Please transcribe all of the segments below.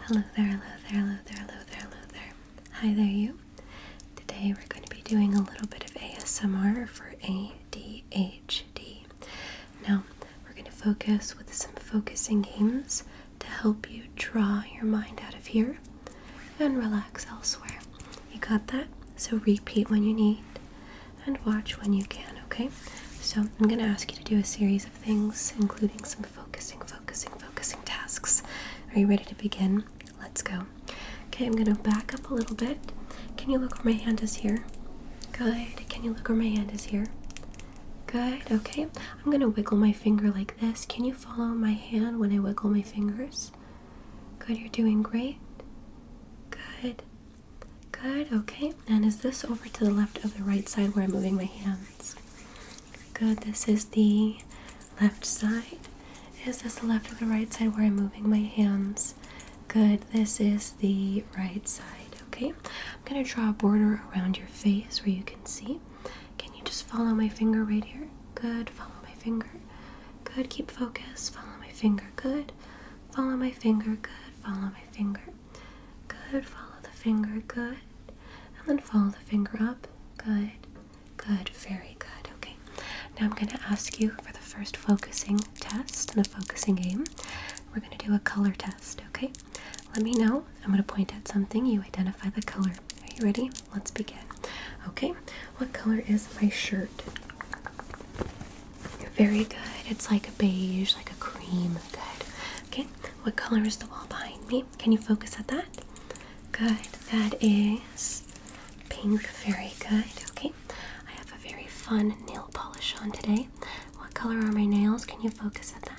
Hello there, hello there, hello there, hello there, Hi there, you. Today we're going to be doing a little bit of ASMR for ADHD. Now, we're going to focus with some focusing games to help you draw your mind out of here and relax elsewhere. You got that? So repeat when you need and watch when you can, okay? So I'm going to ask you to do a series things, including some focusing, focusing, focusing tasks. Are you ready to begin? Let's go. Okay, I'm going to back up a little bit. Can you look where my hand is here? Good. Can you look where my hand is here? Good. Okay. I'm going to wiggle my finger like this. Can you follow my hand when I wiggle my fingers? Good. You're doing great. Good. Good. Okay. And is this over to the left of the right side where I'm moving my hand? Good, this is the left side. Is this the left or the right side where I'm moving my hands? Good, this is the right side. Okay, I'm gonna draw a border around your face where you can see. Can you just follow my finger right here? Good, follow my finger. Good, keep focus. Follow my finger. Good, follow my finger. Good, follow my finger. Good. Follow the finger. Good. And then follow the finger up. Good. Good. Very good. Okay. Now I'm going to ask you for the first focusing test and the focusing game. We're going to do a color test. Okay. Let me know. I'm going to point at something. You identify the color. Are you ready? Let's begin. Okay. What color is my shirt? Very good. It's like a beige, like a cream. Good. Okay. What color is the wall behind me? Can you focus at that? Good. That is pink. Very good. Okay. I have a very fun nail polish on today. What color are my nails? Can you focus at that?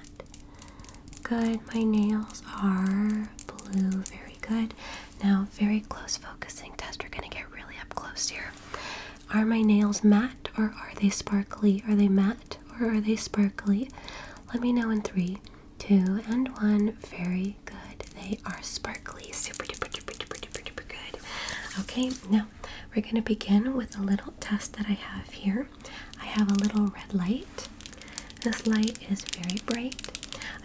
Good. My nails are blue. Very good. Now, very close focusing test. We're going to get really up close here. Are my nails matte or are they sparkly? Are they matte? or are they sparkly? Let me know in three, two, and one. Very good. They are sparkly. Super duper duper duper duper duper good. Okay, now we're gonna begin with a little test that I have here. I have a little red light. This light is very bright.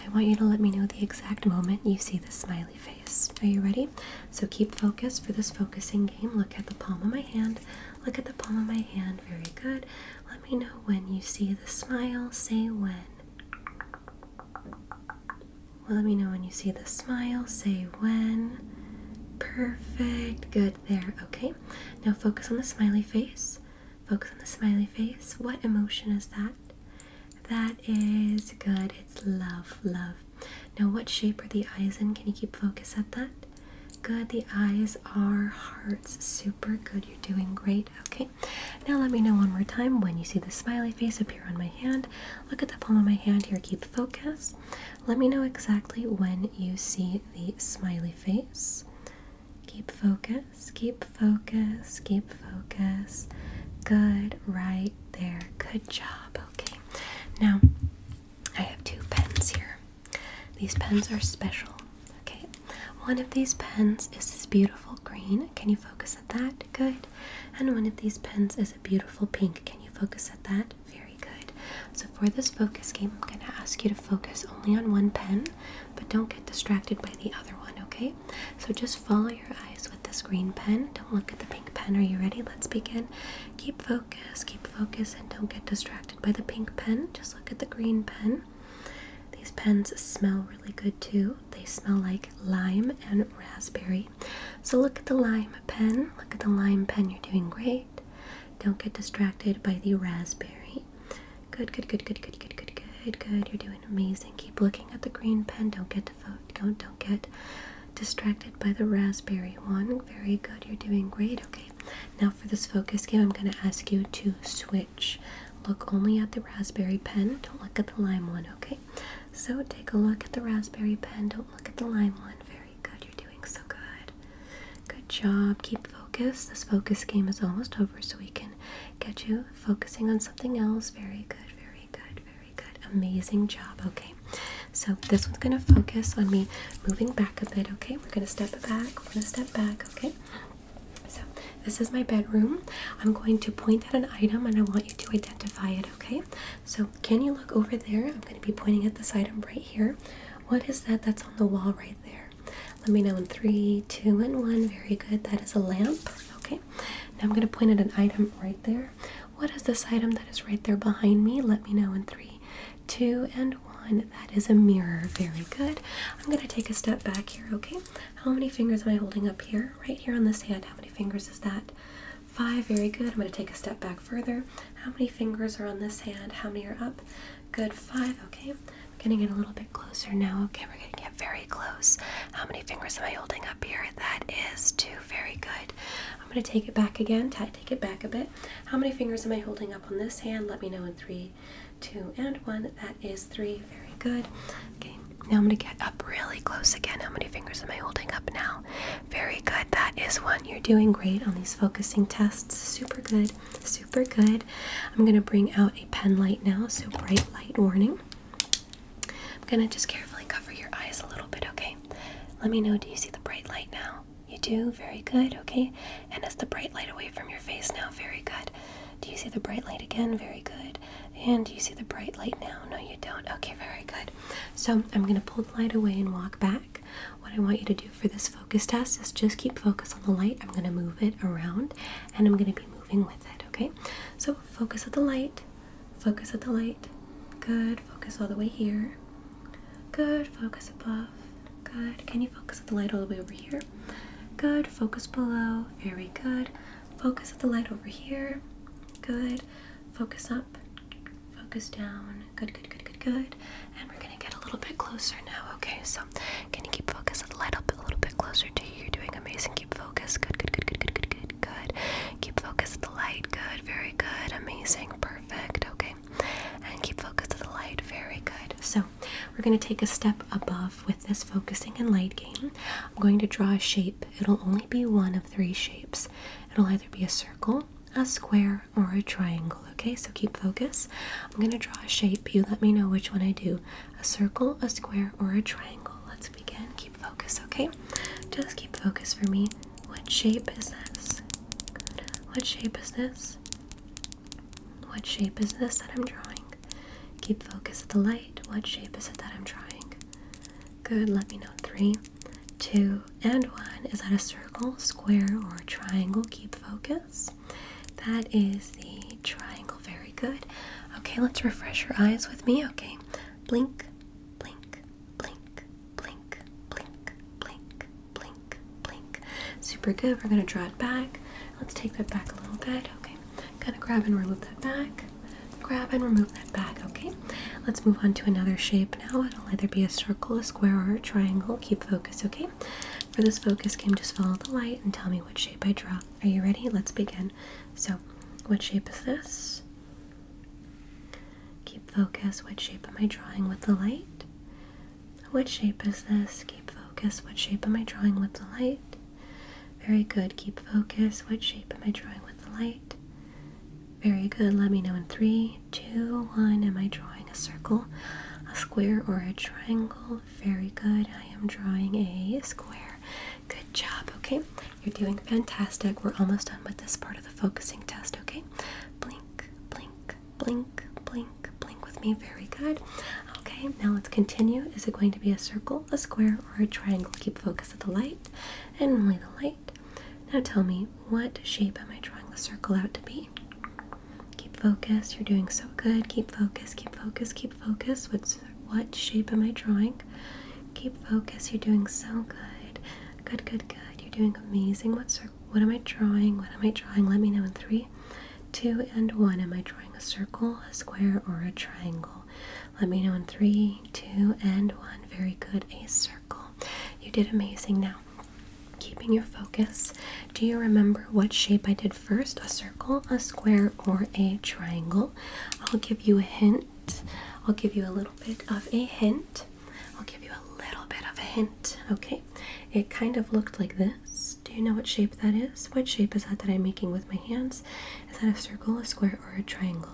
I want you to let me know the exact moment you see the smiley face. Are you ready? So keep focus for this focusing game. Look at the palm of my hand. Look at the palm of my hand. Very good. Let me know when you see the smile. Say when. Let me know when you see the smile. Say when. Perfect. Good there. Okay. Now focus on the smiley face. Focus on the smiley face. What emotion is that? That is good. It's love, love. Now, what shape are the eyes in? Can you keep focus at that? Good. The eyes are hearts. Super good. You're doing great. Okay. Now let me know one more time when you see the smiley face appear on my hand. Look at the palm of my hand here. Keep focus. Let me know exactly when you see the smiley face. Keep focus. Keep focus. Keep focus. Good. Right there. Good job. Okay. Now I have two pens here. These pens are special. Okay, one of these pens is this beautiful green. Can you focus at that? Good. And one of these pens is a beautiful pink. Can you focus at that? Very good. So, for this focus game, I'm going to ask you to focus only on one pen, but don't get distracted by the other one, okay? So, just follow your eyes with this green pen. Don't look at the pink pen. Are you ready? Let's begin. Keep focus, keep focus, and don't get distracted by the pink pen, just look at the green pen. These pens smell really good too. They smell like lime and raspberry. So look at the lime pen. Look at the lime pen. You're doing great. Don't get distracted by the raspberry. Good, good, good, good, good, good, good, good, good. You're doing amazing. Keep looking at the green pen. Don't get Don't don't get distracted by the raspberry one. Very good. You're doing great. Okay, now for this focus game, I'm going to ask you to switch. Look only at the raspberry pen, don't look at the lime one, okay? So take a look at the raspberry pen, don't look at the lime one. Very good, you're doing so good. Good job, keep focus. This focus game is almost over, so we can get you focusing on something else. Very good, very good, very good. Amazing job, okay? So this one's gonna focus on me moving back a bit, okay? We're gonna step back, we're gonna step back, okay? So this is my bedroom. I'm going to point at an item and I want you to identify it, okay? So can you look over there? I'm gonna be pointing at this item right here. What is that that's on the wall right there? Let me know in three, two, and one. Very good. That is a lamp. Okay. Now I'm going to point at an item right there. What is this item that is right there behind me? Let me know in three, two, and one. That is a mirror. Very good. I'm going to take a step back here, okay? How many fingers am I holding up here? Right here on this hand. How many fingers is that? Five. Very good. I'm going to take a step back further. How many fingers are on this hand? How many are up? Good. Five. Okay. We're going to get a little bit closer now. Okay. We're going to get very close. How many fingers am I holding up here? That is two. Very good. I'm going to take it back again. Take it back a bit. How many fingers am I holding up on this hand? Let me know in three, two, and one. That is three. Very good. Okay, now I'm going to get up really close again. How many fingers am I holding up now? Very good. That is one. You're doing great on these focusing tests. Super good. Super good. I'm going to bring out a pen light now, so bright light warning. I'm going to just carefully cover your eyes a little bit, okay? Let me know. Do you see the bright light now? You do? Very good. Okay. And is the bright light away from your face now? Very good. Do you see the bright light again? Very good. And do you see the bright light now? No, you don't. Okay, very good. So I'm going to pull the light away and walk back. What I want you to do for this focus test is just keep focus on the light. I'm going to move it around and I'm going to be moving with it. Okay. So focus at the light. Focus at the light. Good. Focus all the way here. Good. Focus above. Good. Can you focus the light all the way over here? Good. Focus below. Very good. Focus at the light over here. Good. Focus up. Focus down. Good, good, good, good, good. And we're going to get a little bit closer now, okay? So, can you keep focus at the light up a little bit closer to you? You're doing amazing. Keep focus. Good, good, good, good, good, good, good, good. Keep focus the light. Good. Very good. Amazing. Perfect. Okay. And keep focused to the light. Very good. So we're going to take a step above with this focusing and light game. I'm going to draw a shape. It'll only be one of three shapes. It'll either be a circle, a square, or a triangle, okay? So keep focus. I'm going to draw a shape. You let me know which one I do. A circle, a square, or a triangle. Let's begin. Keep focus, okay? Just keep focus for me. What shape is this? What shape is this? What shape is this that I'm drawing? Keep focus at the light. What shape is it that I'm drawing? Good, let me know. Three, two, and one. Is that a circle, square, or triangle? Keep focus. That is the triangle. Very good. Okay, let's refresh your eyes with me. Okay, blink, blink, blink, blink, blink, blink, blink, blink. Super good. We're gonna draw it back. Let's take that back a little bit. Okay. Kind of grab and remove that back. Grab and remove that back. Okay. Let's move on to another shape now. It'll either be a circle, a square, or a triangle. Keep focus. Okay. For this focus game, just follow the light and tell me which shape I draw. Are you ready? Let's begin. So, what shape is this? Keep focus. What shape am I drawing with the light? What shape is this? Keep focus. What shape am I drawing with the light? Very good. Keep focus. What shape am I drawing with the light? Very good. Let me know in three, two, one. Am I drawing a circle, a square, or a triangle? Very good. I am drawing a square. Good job. Okay, you're doing fantastic. We're almost done with this part of the focusing test. Okay, blink, blink, blink, blink, blink, with me. Very good. Okay, now let's continue. Is it going to be a circle, a square, or a triangle? Keep focus of the light and only the light. Now tell me, what shape am I drawing the circle out to be? Keep focus. You're doing so good. Keep focus. Keep focus. Keep focus. What's what shape am I drawing? Keep focus. You're doing so good. Good, good, good. You're doing amazing. What what am I drawing? What am I drawing? Let me know in three, two, and one. Am I drawing a circle, a square, or a triangle? Let me know in three, two, and one. Very good. A circle. You did amazing. Now, keeping your focus, do you remember what shape I did first? A circle, a square, or a triangle? I'll give you a hint. I'll give you a little bit of a hint. I'll give you a little bit of a hint, okay? It kind of looked like this. Do you know what shape that is? What shape is that that I'm making with my hands? Is that a circle, a square, or a triangle?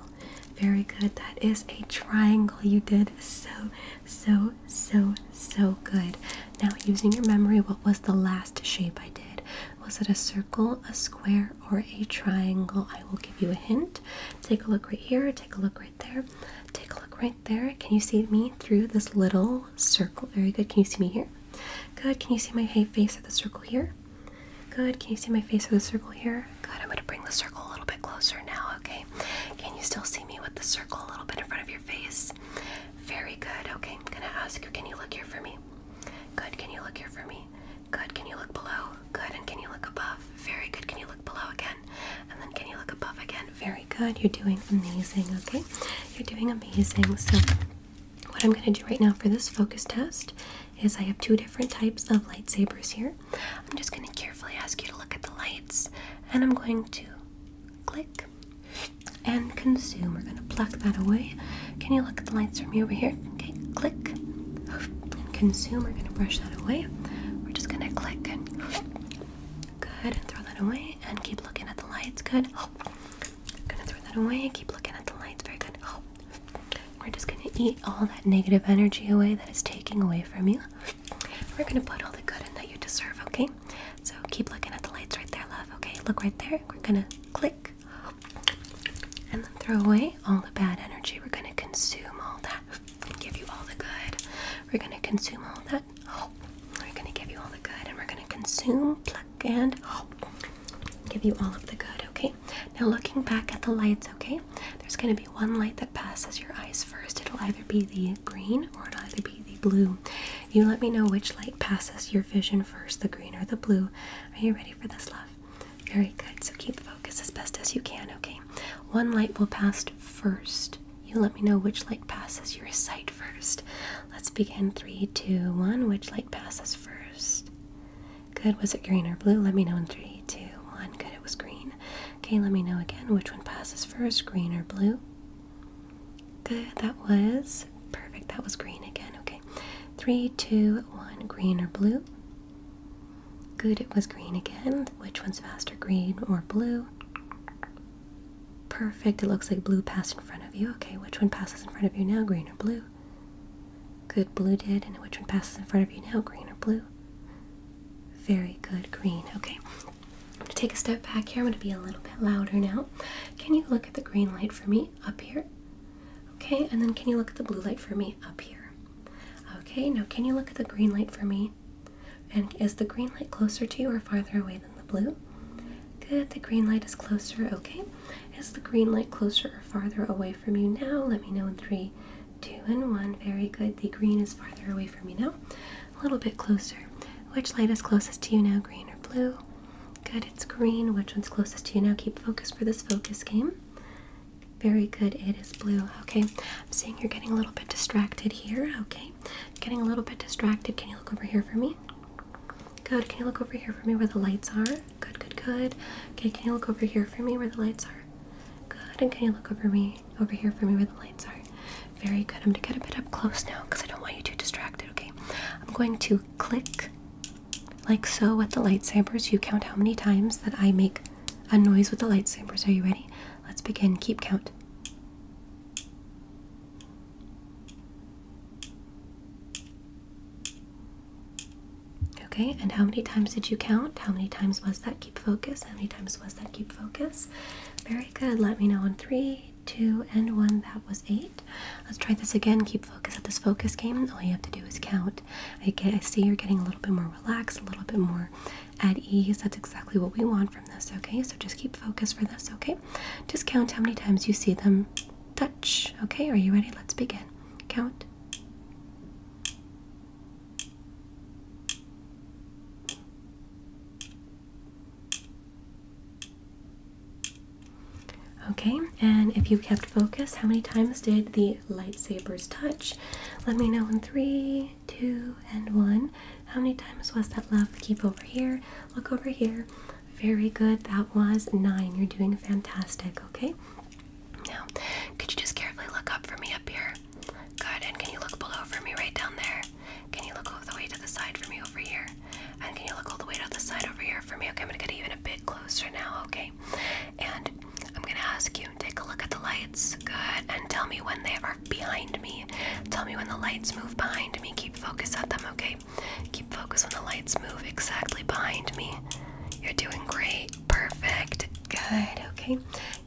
Very good. That is a triangle. You did so, so, so, so good. Now, using your memory, what was the last shape I did? Was it a circle, a square, or a triangle? I will give you a hint. Take a look right here, take a look right right there. Take a look right there. Can you see me through this little circle? Very good. Can you see me here? Good. Can you see my face at the circle here? Good. Can you see my face at the circle here? Good. I'm going to bring the circle a little bit closer now, okay? Can you still see me with the circle a little bit in front of your face? Very good. Okay. I'm going to ask you, can you look here for me? Good. Can you look here for me? Good. Can you look below? Good. And can you look above? Very good. Can you look below again? And then can you look above again? Very good. You're doing amazing, okay? You're doing amazing. So what I'm going to do right now for this focus test is I have two different types of lightsabers here. I'm just going to carefully ask you to look at the lights and I'm going to click and consume. We're going to pluck that away. Can you look at the lights for me over here? Okay, click and consume. We're going to brush that away. We're just going to click Good. Throw that away and keep looking at the lights. Good. Oh. Gonna throw that away. Keep looking at the lights. Very good. We're just gonna eat all that negative energy away that is taking away from you. We're gonna put all the good in that you deserve, okay? So keep looking at the lights right there, love, okay? Look right there. We're gonna click and then throw away all the bad energy. We're gonna consume all that give you all the good. We're going to consume all that. Oh, we're going to give you all the good, and we're going to consume, pluck, and oh, give you all of the good. Okay. Now looking back at the lights. Okay. There's going to be one light that passes your eyes first. It'll either be the green or it'll either be the blue. You let me know which light passes your vision first, the green or the blue. Are you ready for this, love? Very good. So keep focus as best as you can. Okay. One light will pass first. You let me know which light passes your sight first. Let's begin. Three, two, one. Which light passes first? Good. Was it green or blue? Let me know in three, two, one. Good. It was green. Okay, let me know again which one passes first, green or blue. Good. That was perfect. That was green again. Okay. Three, two, one. Green or blue? Good, it was green again. Which one's faster, green or blue? Perfect, it looks like blue passed in front of you. Okay, which one passes in front of you now, green or blue? Good, blue did. And which one passes in front of you now, green or blue? Very good, green. Okay, I'm gonna take a step back here. I'm gonna be a little bit louder now. Can you look at the green light for me up here? Okay, and then can you look at the blue light for me up here? Okay, now can you look at the green light for me and is the green light closer to you or farther away than the blue? Good, the green light is closer. Okay. Is the green light closer or farther away from you now? Let me know in three, two, and one. Very good. The green is farther away from you now. A little bit closer. Which light is closest to you now, green or blue? Good, it's green. Which one's closest to you now? Keep focus for this focus game. Very good. It is blue. Okay. I'm seeing you're getting a little bit distracted here. Okay. Getting a little bit distracted. Can you look over here for me? Good. Can you look over here for me where the lights are? Good, good, good. Okay. Can you look over here for me where the lights are? Good. And can you look over me over here for me where the lights are? Very good. I'm going to get a bit up close now because I don't want you too distracted. Okay. I'm going to click like so with the lightsabers. You count how many times that I make a noise with the lightsabers. Are you ready? Let's begin. Keep count. Okay, and how many times did you count? How many times was that keep focus? How many times was that keep focus? Very good. Let me know on three, two, and one. That was eight. Let's try this again. Keep focus at this focus game. All you have to do is count. I see you're getting a little bit more relaxed, a little bit more at ease. That's exactly what we want from this, okay? So just keep focus for this, okay? Just count how many times you see them touch. Okay, are you ready? Let's begin. Count. Okay, and if you kept focus, how many times did the lightsabers touch? Let me know in three, two, and one. How many times was that, left? Keep over here. Look over here. Very good. That was nine. You're doing fantastic, okay? Now, could you just carefully look up for me up here? Good. And can you look below for me right down there? Can you look all the way to the side for me over here? And can you look all the way to the side over here for me? Okay, I'm gonna get even a bit closer now, okay? And I'm gonna ask you, take a look at the lights. Good. And tell me when they are behind me. Tell me when the lights move behind me. Keep focus on them, okay? Keep focus on the lights move exactly behind me. You're doing great. Perfect. Good. Okay.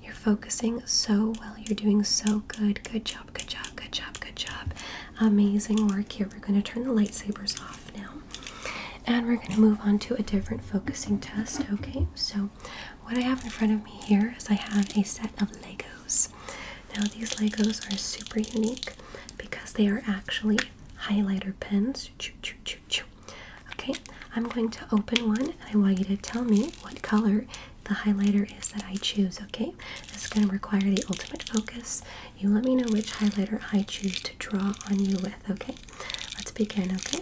You're focusing so well. You're doing so good. Good job. Good job. Good job. Good job. Amazing work here. We're gonna turn the lightsabers off now. And we're going to move on to a different focusing test, okay? So what I have in front of me here is I have a set of Legos. Now, these Legos are super unique because they are actually highlighter pens. Okay, I'm going to open one and I want you to tell me what color the highlighter is that I choose. Okay, this is going to require the ultimate focus. You let me know which highlighter I choose to draw on you with. Okay, let's begin. Okay,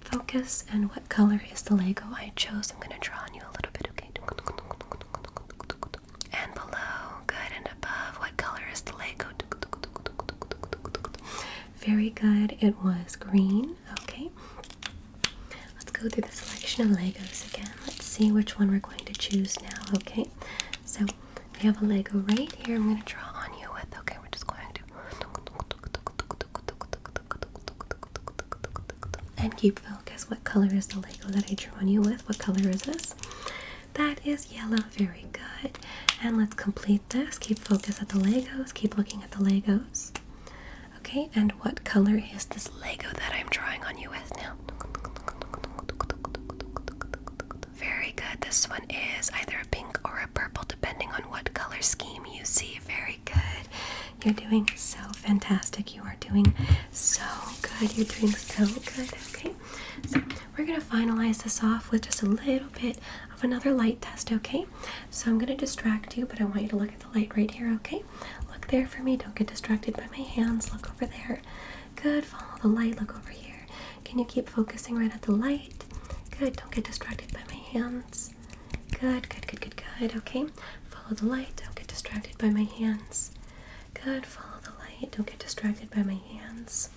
focus and what color is the Lego I chose. I'm going to draw on you a little bit, okay? And below, good, and above, what color is the Lego? Very good, it was green, okay? Let's go through the selection of Legos again. Let's see which one we're going to choose now, okay? So we have a Lego right here. I'm going to draw on you with, okay? We're just going to and keep focus. What color is the Lego that I drew on you with? What color is this? That is yellow. Very good. And let's complete this. Keep focus at the Legos. Keep looking at the Legos. Okay, and what color is this Lego that I'm drawing on you with now? Very good. This one is either a pink or purple, depending on what color scheme you see. Very good. You're doing so fantastic. You are doing so good. You're doing so good. Okay. So we're going to finalize this off with just a little bit of another light test, okay? So I'm going to distract you, but I want you to look at the light right here, okay? Look there for me. Don't get distracted by my hands. Look over there. Good. Follow the light. Look over here. Can you keep focusing right at the light? Good. Don't get distracted by my hands. Good, good, good, good, good. Okay. Follow the light. Don't get distracted by my hands. Good. Follow the light. Don't get distracted by my hands.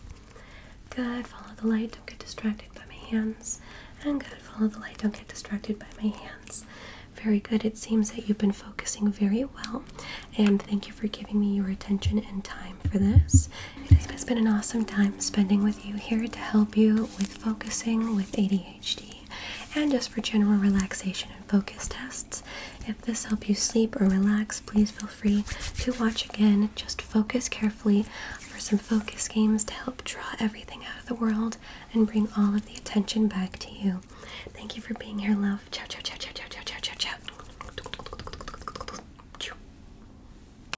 Good. Follow the light. Don't get distracted by my hands. And good. Follow the light. Don't get distracted by my hands. Very good. It seems that you've been focusing very well. And thank you for giving me your attention and time for this. It has been an awesome time spending with you here to help you with focusing with ADHD and just for general relaxation and focus tests. If this helped you sleep or relax, please feel free to watch again. Just focus carefully for some focus games to help draw everything out of the world and bring all of the attention back to you. Thank you for being here, love. Ciao, ciao, ciao, ciao, ciao, ciao, ciao, ciao, ciao.